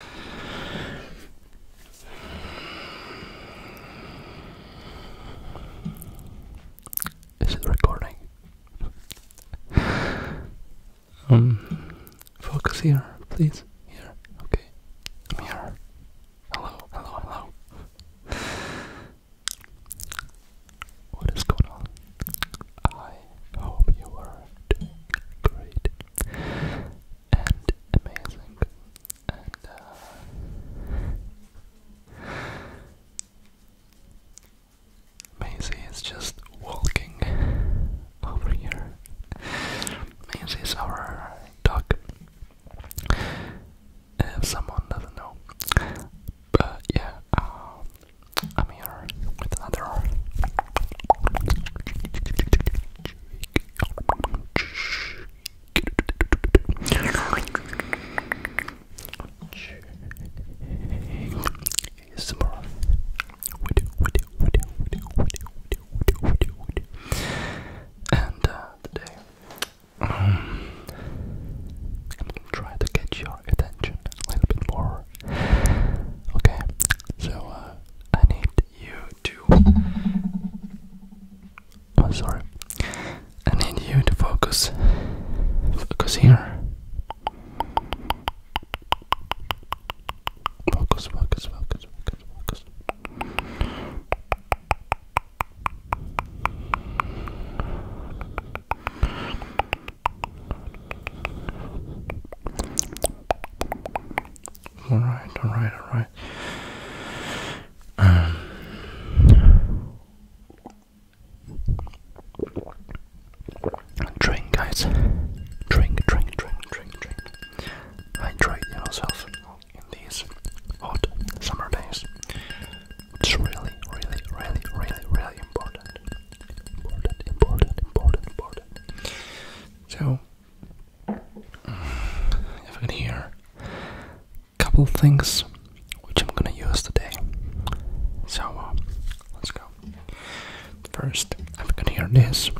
Is it recording? um, focus here, please. Here, okay. here. Hello, hello, hello. What is going on? I hope you are doing great and amazing. And uh, Maisie is just walking over here. Maisie is our dog. If someone doesn't know, but yeah, um, I'm here with another and today, um, I'm gonna try to get your attention a little bit more. Okay, so uh, I need you I'm oh, sorry. I need you to focus. Focus here. Focus, focus, focus, focus, focus. All right, all right, all right. Um, drink, guys. Drink, drink, drink, drink, drink. Hydrate yourself in these hot summer days. It's really, really, really, really, really important. Important, important, important, important. So, if I can hear a couple of things which I'm gonna use today. So uh, let's go. First, if I can hear this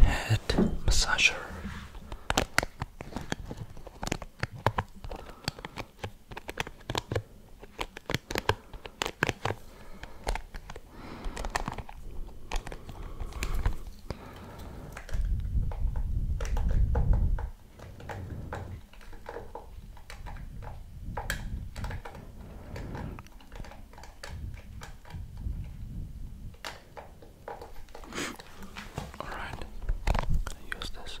head massager. All right, I'm gonna use this.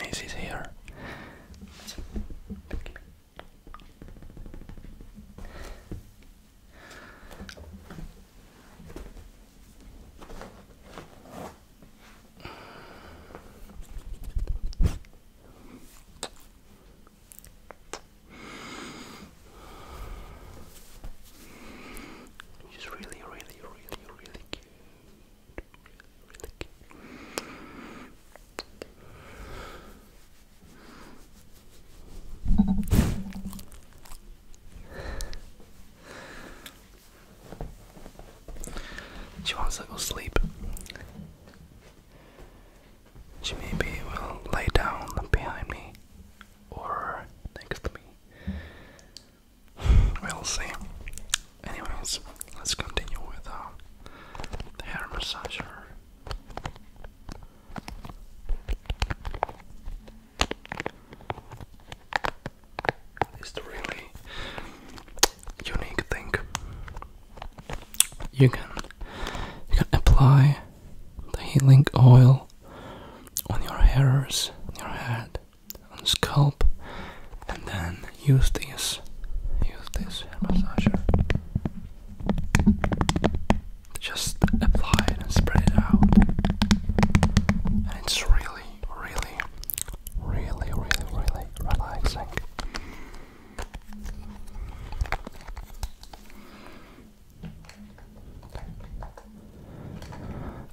Maze is here. He's really, really, Really, really cute. She wants to go sleep. She maybe will lay down behind me or next to me. We'll see. Anyways, let's continue with uh, the hair massager. It's really unique thing. You can you can apply the healing oil on your hairs, your head, on scalp, and then use this, use this hair massager. Just apply it and spread it out. And it's really, really, really, really, really relaxing.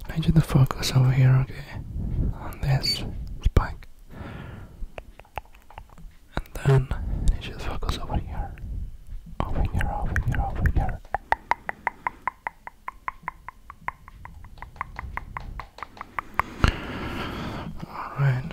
I need you focus over here, okay? On this spike. And then I need focus over here. Over here, over here, over here. Alright.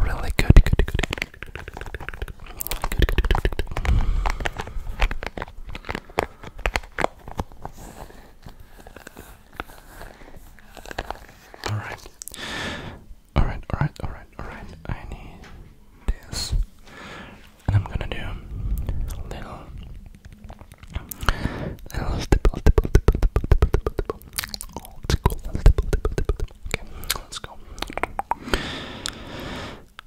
Really good, good, good, good, good, good, good, good, good, good, good. All right, all right, all right, all right, all right. I need this, and I'm gonna do a little, little stipple, stipple, stipple, stipple, stipple, stipple, stipple, stipple, stipple, stipple, dip. Okay, let's go. Dip, dip, dip, dip, dip, dip, dip, dip, dip.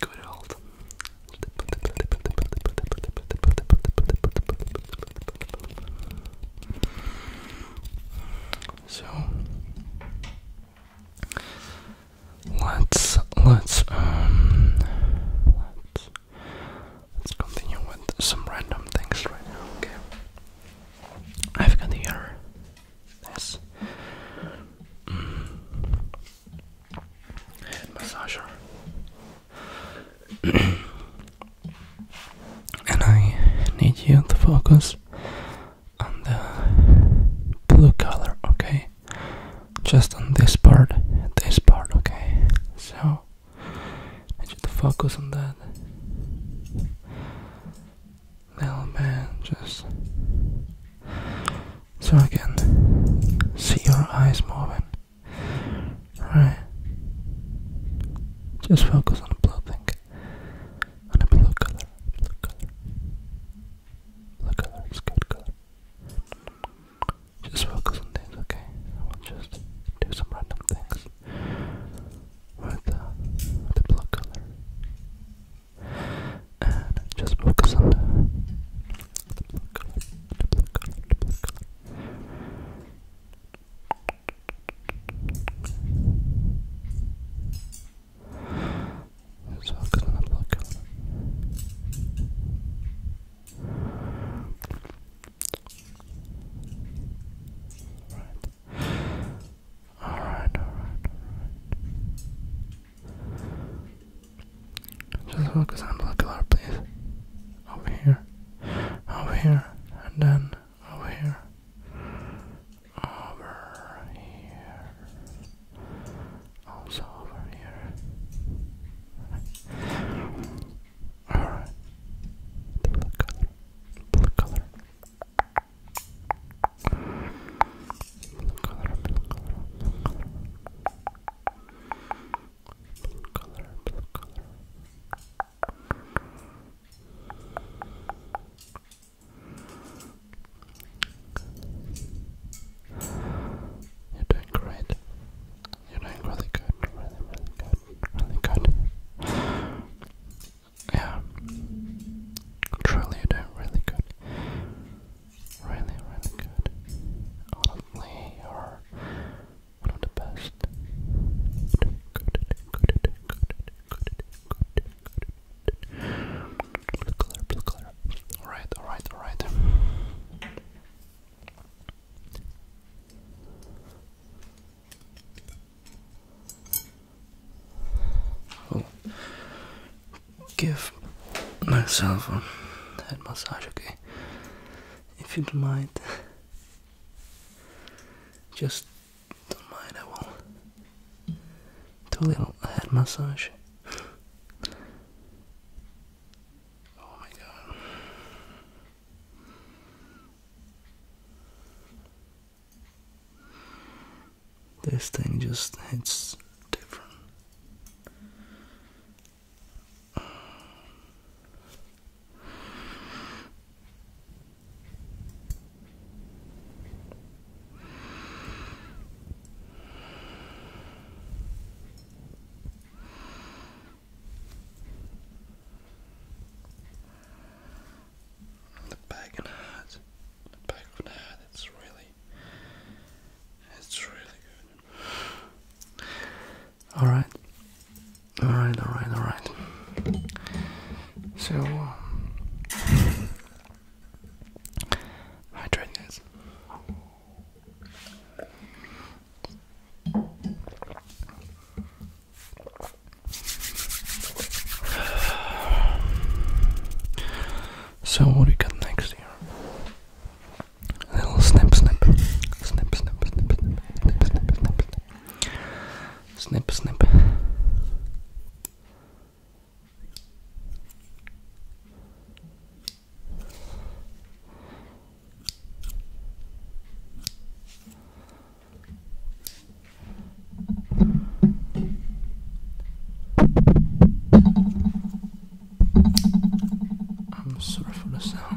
Good So let's let's um let's Let's continue with some random things right now, okay? I've got here this mm, head massager. and I need you to focus on the blue color, okay? just on this part, this part, okay? So, I need focus on that. Little man. just so I can see your eyes moving. All right, Just focus on the blue thing. On the blue color. Blue color. Blue color is good color. Just focus on things, okay? I will just do some random things with uh, the blue color. And just focus on the, the color, the color, the color. focus on the blue color. All right. All right, all right, all right. Just focus on molecular, please. Over here, over here, and then over here, over here, also over here. Alright. blue color, blue color. Blue color, blue color. You're doing great. You're doing really good, really, really good, really good. Yeah. Truly, you're doing really good. Really, really good. Honestly, you're one of the best. Doing good, doing good, doing good, good, good, good. Blue color, blue color. Alright, alright, alright. Oh. give myself a head massage, okay? If you don't mind, just don't mind, I will do a little head massage. Oh my god. This thing just hits different. The back and heart, the back of the heart, it's really, it's really good. All right, all right, all right, all right. So, um, hydrate guys. So what do you got next here? A little snip snip. Snip snip snip snip snip snip snip snip snip snip I'm sorry for the sound.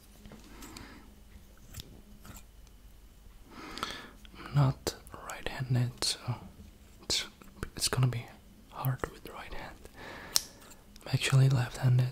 I'm not right-handed, so it's gonna be hard with the right hand. I'm actually left-handed.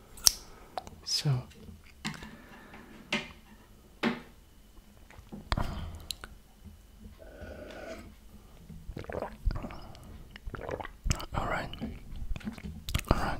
So all right, all right.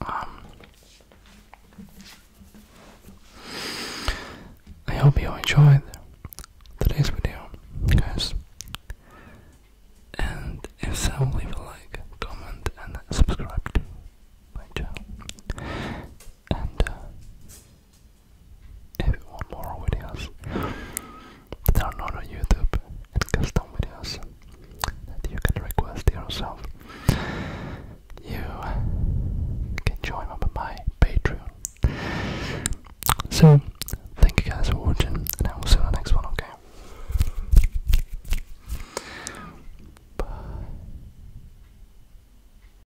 Um, I hope you enjoyed today's video, guys. And if so, leave a like, comment, and subscribe to my and uh, if you want more videos that are not on YouTube and custom videos that you can request yourself, you can join my Patreon. So, thank you guys for watching, and I will see you in the next one, okay? Bye.